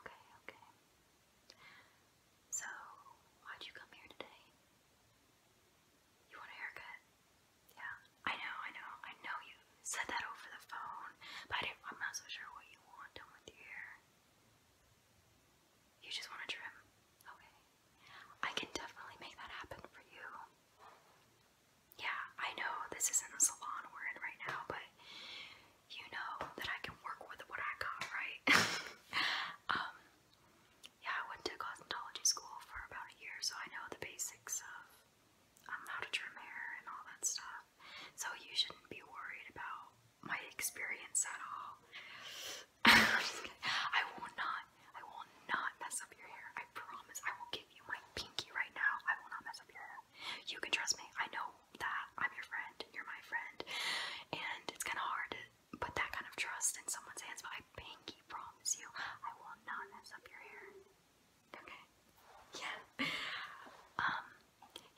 Okay, okay. So, why'd you come here today? You want a haircut? Yeah, I know, I know, I know you said that over the phone, but I am not so sure what you want done with your hair. You just want a trim? Okay. I can definitely make that happen for you. Yeah, I know this isn't a salon we're in right now, but you know that I can work with what I got, right? Um, yeah, I went to cosmetology school for about a year, so I know the basics of um, how to trim hair and all that stuff. So you shouldn't be worried about my experience at all. I will not, I will not mess up your hair. I promise. I will give you my pinky right now. I will not mess up your hair. You can trust me. I know that I'm your friend, you're my friend, and it's kind of hard to put that kind of trust in someone's hands, but I pinky promise you, I will not mess up your hair. Okay? Yeah. Um,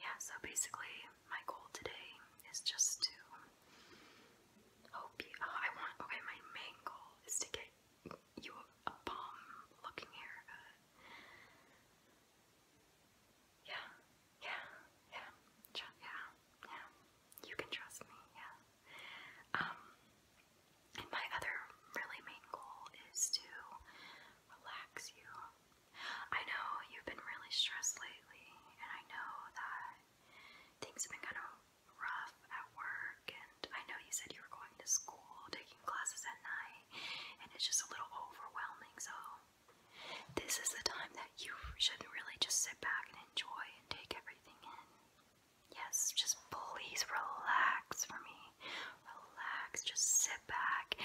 yeah, so basically, my goal today is just to hope you. Oh, I want. Okay, my main goal is to get you a, bomb looking haircut. Yeah, yeah, yeah, yeah, yeah. You can trust me, yeah. Um, and my other really main goal is to relax you. I know you've been really stressed lately, and I know that things have been kind of rough at work, and I know you said you were going to school, taking classes at night and it's just a little overwhelming. So, this is the time that you should really just sit back and enjoy and take everything in. Yes, just please relax for me. Relax, just sit back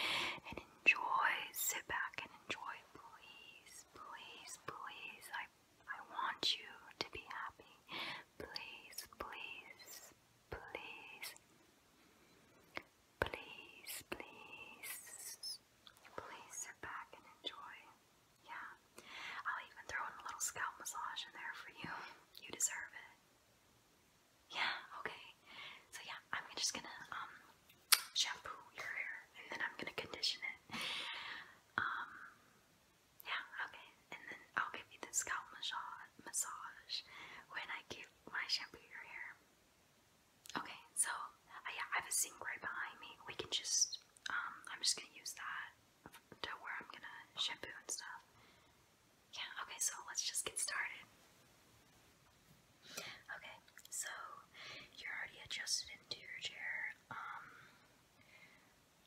and enjoy. Sit back and enjoy, please, please, please. I, I want you to be happy. Please, please, please. Please, please, please sit back and enjoy. Yeah, I'll even throw in a little scalp massage in there for you. You deserve it. Yeah, okay. So yeah, I'm just gonna um shampoo your hair and then I'm gonna condition it. Um, yeah, okay. And then I'll give you the scalp massage massage when I give when I shampoo your hair. Okay, so uh, yeah, I have a sink right behind me. We can just, um, I'm just gonna use that to where I'm gonna shampoo and stuff. Yeah, okay, so let's just get started. Okay, so you're already adjusted into your chair. Um,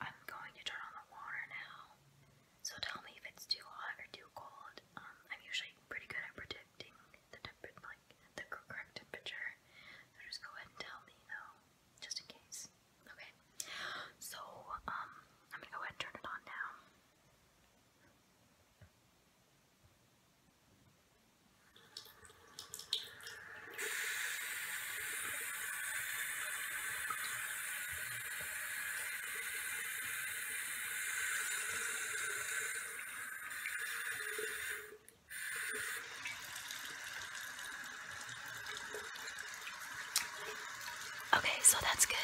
I'm going to turn on the water now. So tell me if it's too hot or too cold. Um, I'm usually pretty good at predicting the temper like the correct temperature. just go ahead and tell me though, just in case. Okay. So um, I'm gonna go ahead and turn it on now. Okay, so that's good.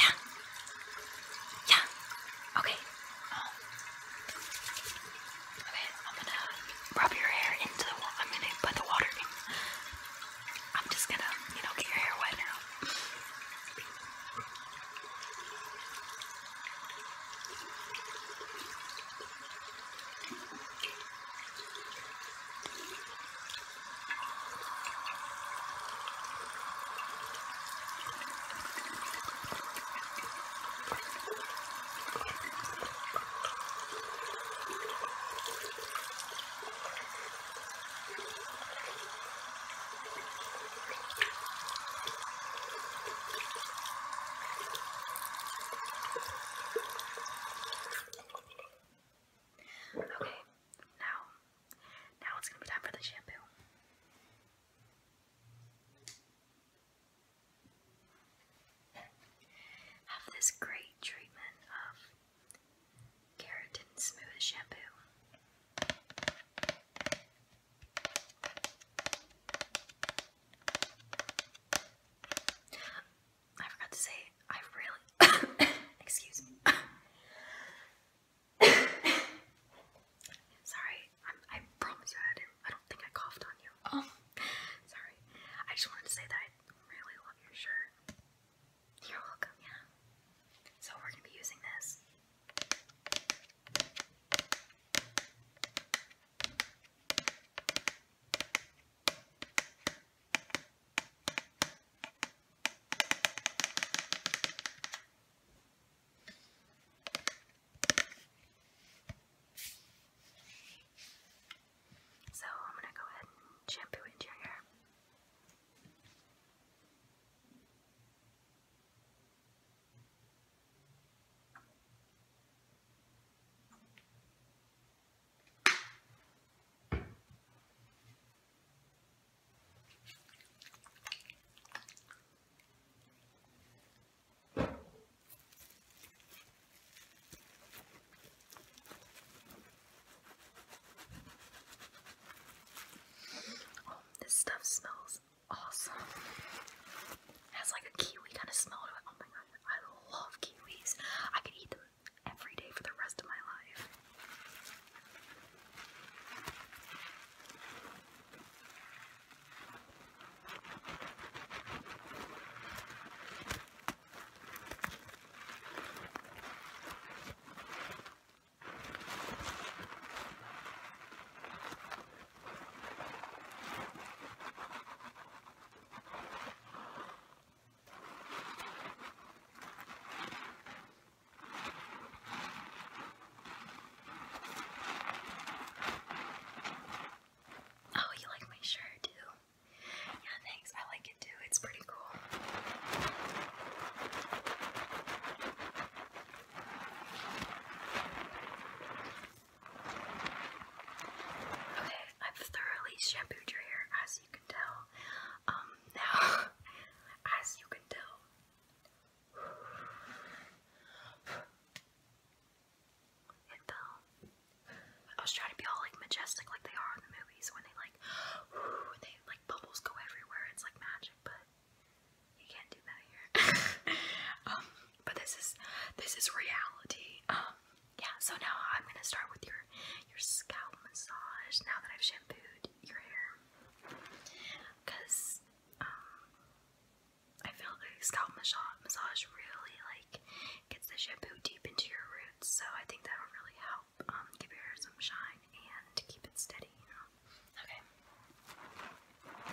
Yeah. Yeah. Okay. Um, okay, I'm gonna rub your hair into the water. I'm just gonna, you know, get your hair wet now. Okay, now, now it's gonna be time for the shampoo. Have this great treatment of Keratin Smooth Shampoo. I forgot to say, I really, excuse me. Sorry, i promise I didn't, I don't think I coughed on you. Oh. Sorry, I just wanted to say that I really love your shirt. You're welcome, yeah. So we're going to be using this. So I'm gonna go ahead and shampoo into your hair. Oh, this stuff smells awesome. has like a kiwi kind of smell to it. Oh my god, I love kiwis. I could eat them every day for the rest of my life. Oh, you like my shirt too? Yeah, thanks. I like it too. It's pretty cool. Okay, I've thoroughly shampooed your hair as you can tell. Um, now, as you can tell. It fell. I was trying to be all like majestic like they are in the movies when they like they like bubbles go everywhere, it's like magic, but you can't do that here. Um, but this is this is reality. Um, yeah, so now I'm gonna start with your your scalp massage now that I've shampooed your hair. Cause um, I feel like scalp massage really like gets the shampoo deep into your roots so I think that will really help um, give your hair some shine and keep it steady, you know? Okay. Okay.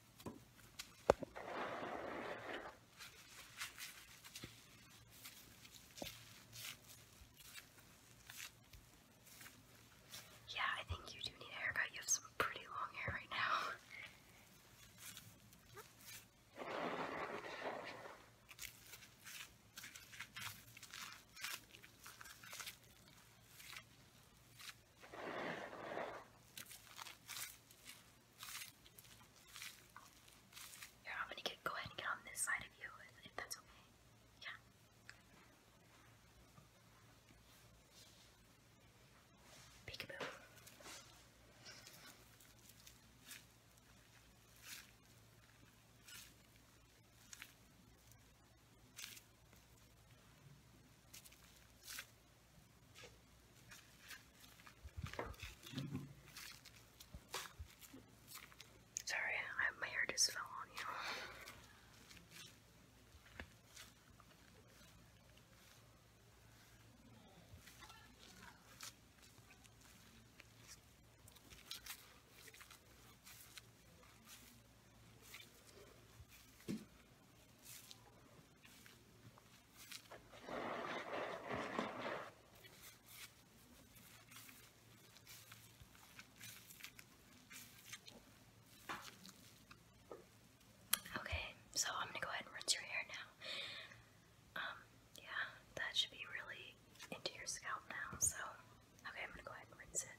Yeah, I think you do need a haircut. You have some pretty long hair right now. Here, I'm gonna get go ahead and get on this side of you that's okay. Yeah. Peekaboo. Sorry, my hair just fell on you. Okay, so I'm gonna go ahead and rinse your hair now. Um, yeah, that should be really into your scalp now, so okay, I'm gonna go ahead and rinse it.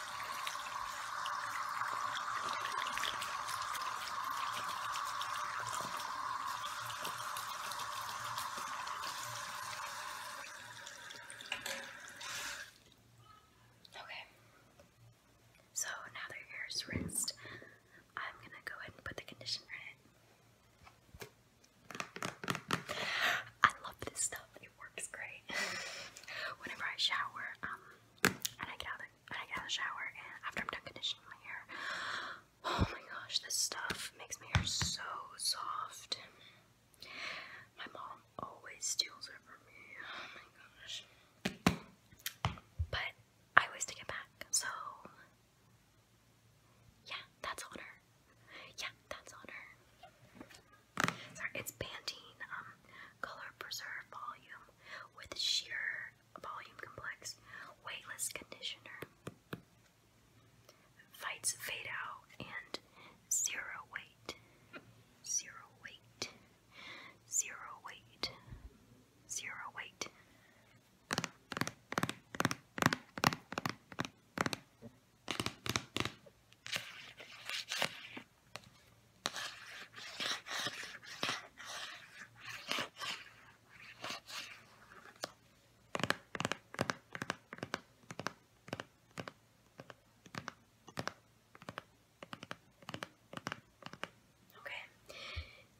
Okay, so now that hair is rinsed, I'm gonna go ahead and put the conditioner in I love this stuff works great. Whenever I shower, um, and I get out of the shower, and after I'm done conditioning my hair, oh my gosh, this stuff makes my hair so soft. My mom always steals it from me. Oh my gosh. But I always take it back, so yeah, that's on her. Yeah, that's on her it's Pantene um, Color Preserve Volume with Sheer Volume Complex Weightless Conditioner. Fights fade out and zero weight. Zero weight. Zero weight. Zero weight. Okay.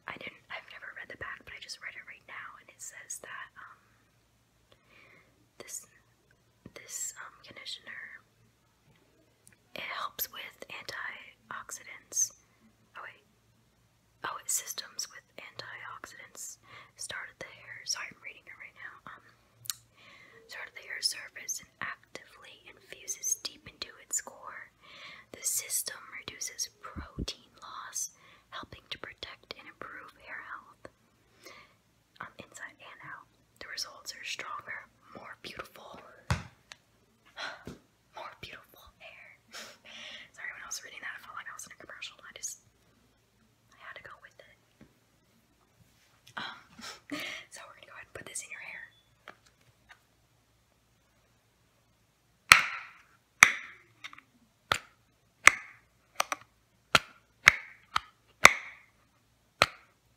I didn't I've never read the back, but I just read it right now and it says that um this this um conditioner it helps with antioxidants. Oh wait. Oh, it systems with antioxidants. Started the hair. Sorry, I'm reading it right now. Um, started the hair surface and actively infuses deep into its core. The system reduces protein loss, helping to protect and improve hair health on um, the inside and out. The results are stronger, more beautiful, more beautiful hair. Sorry, when I was reading that, I felt like I was in a commercial. I just, I had to go with it. Um, so we're gonna go ahead and put this in your hair.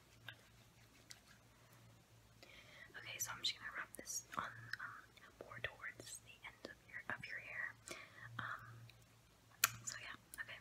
Okay, so I'm just gonna wrap this on um, more towards the end of your of your hair. Um, so yeah, Okay,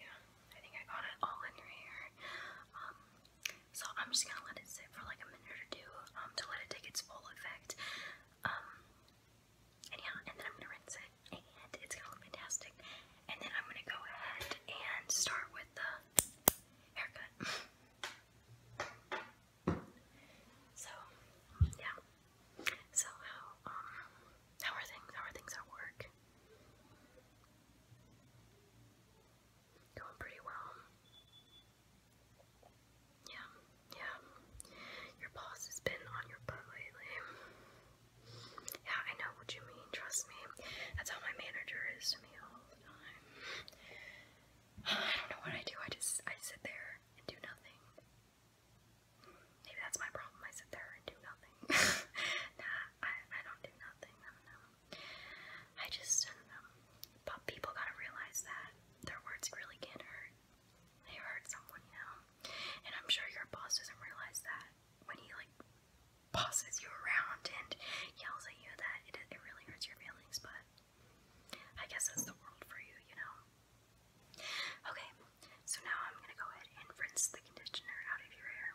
Yeah, I think I got it all in your hair. Um, so I'm just gonna let it sit for like a minute or two um, to let it take its full effect. Um, and yeah, and then I'm gonna rinse it, and it's gonna look fantastic. And then I'm gonna go ahead and start with the haircut. So, yeah. So how are things? How are things at work? Going pretty well. Yeah, yeah. Your boss has been on your butt lately. Yeah, I know what you mean, trust me. That's how my manager is to me all the time. I don't know what I do, I just I sit there and do nothing. Maybe that's my problem, I sit there and do nothing. nah, I, I don't do nothing. I don't know. I just don't know. But people gotta realize that their words really can hurt. They hurt someone, you know. And I'm sure your boss doesn't realize that when he like bosses you around and yells at you that it it really hurts your feelings. But I guess that's the world for you, you know. Okay, so now I'm gonna go ahead and rinse the conditioner out of your hair.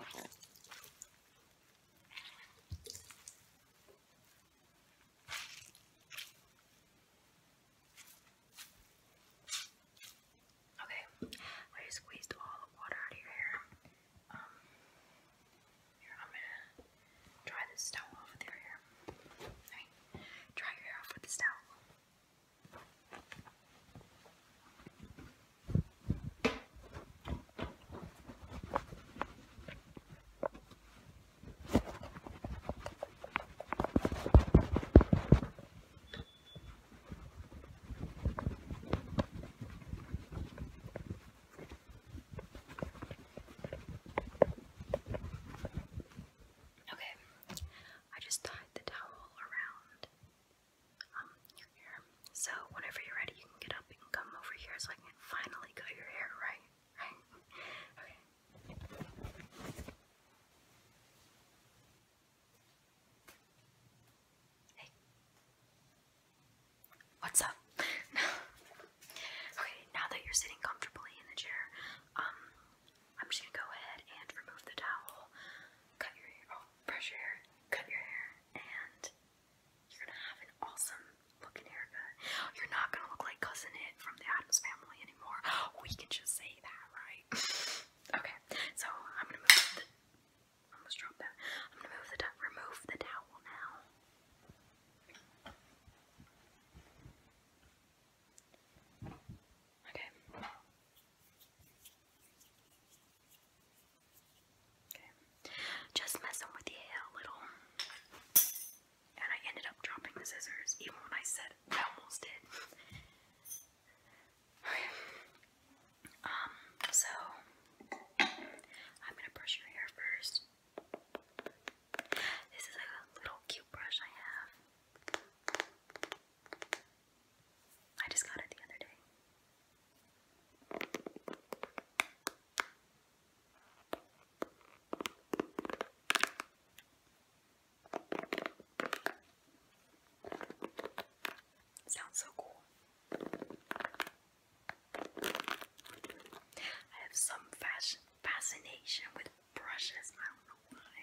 Okay, I squeezed all the water out of your hair. Um, here, I'm gonna dry this towel off with your hair. Alright, dry your hair off with this towel. Okay, I just tied the towel around so whenever you're ready, you can get up and come over here so I can finally cut your hair right. okay. What's up? okay, now that you're sitting comfortably in the chair, um, I'm just gonna go ahead and remove the towel, cut your hair. Oh, brush your hair, cut your hair, and you're gonna have an awesome looking haircut. You're not gonna look like Cousin It from the Adams Family anymore. We can just say that, right? okay, so I'm gonna move the. Almost dropped that. I'm gonna move the remove the towel now. Okay. Just messing with your a little. And I ended up dropping the scissors even when I said I almost did. okay. Um, so I'm gonna brush your hair first. This is like a little cute brush I have. I just got it the other day. Sounds so cool. I have some fashion fascination with brushes. I don't know why.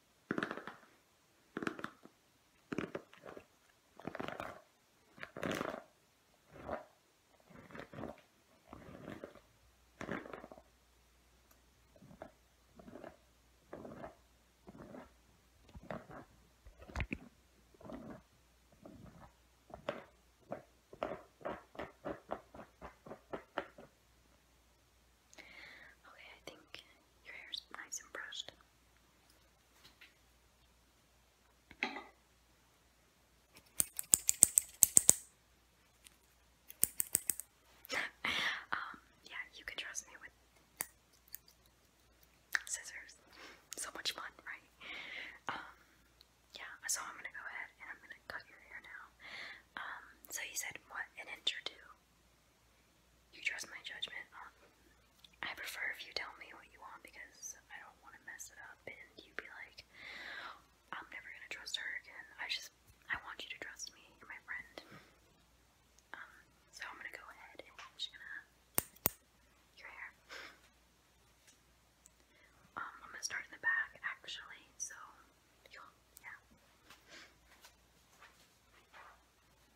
Okay, I think your hair's nice and brushed. um, yeah, you can trust me with scissors. So much fun, right? Um, yeah, so I'm gonna go ahead and I'm gonna cut your hair now. Um, so you said what? An inch you trust my judgment. Um, I prefer if you tell me what you want because I don't want to mess it up and you be like, I'm never gonna trust her again. I just, I want you to trust me. You're my friend. Um, so I'm gonna go ahead and i your hair. Um, I'm gonna start in the back actually. So, yeah.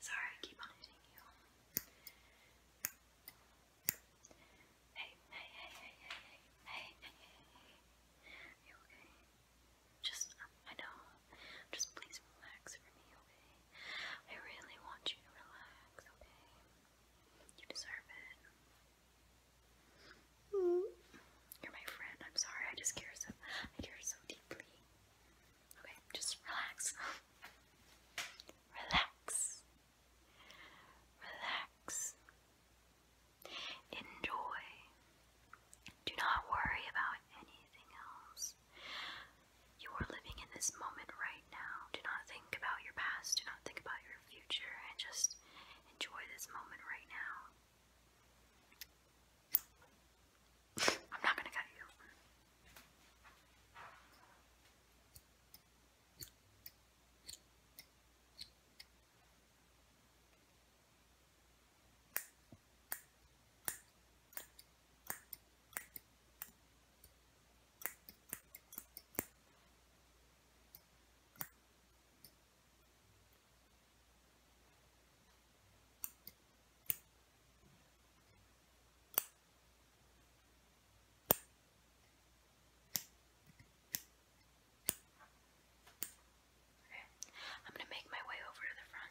Sorry, keep on you. Hey, hey, hey, hey, hey, hey, hey, hey, you okay? Just, um, I know. Just please relax for me, okay? I really want you to relax, okay? You deserve it. You're my friend. I'm sorry. I just care so. I care so deeply. Okay, just relax. relax. Relax. Enjoy. Do not worry about anything else. You are living in this moment right now. Do not think about your past, do not think about your future, and just enjoy this moment right now. I'm not gonna cut you. Okay, I'm gonna make my way over to the front.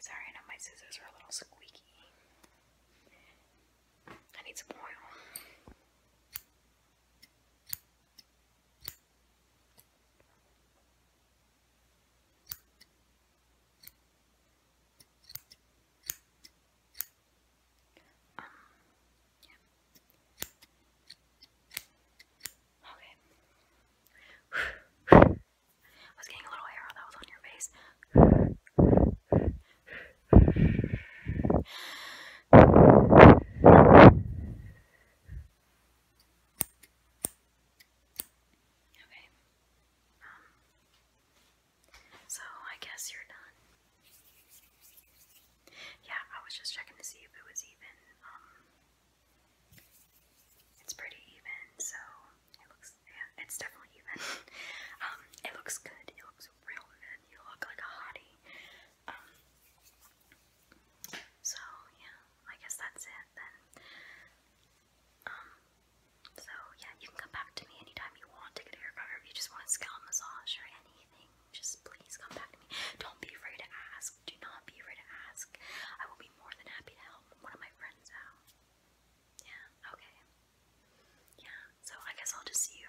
Sorry, I know my scissors are a little squeaky. I need some oil. Um, yeah. Okay. I was getting a little hair that was on your face. Okay. Um, so I guess you're done. Yeah, I was just checking to see if it was even. Um, it's pretty even, so it looks. Yeah, it's definitely even. um, it looks good. It looks real and You look like a hottie. Um, so yeah, I guess that's it then. Um, so yeah, you can come back to me anytime you want to get a haircut, or if you just want a scalp massage or anything, just please come back to me. Don't be afraid to ask. Do not be afraid to ask. I will be more than happy to help one of my friends out. Yeah, okay. Yeah, so I guess I'll just see you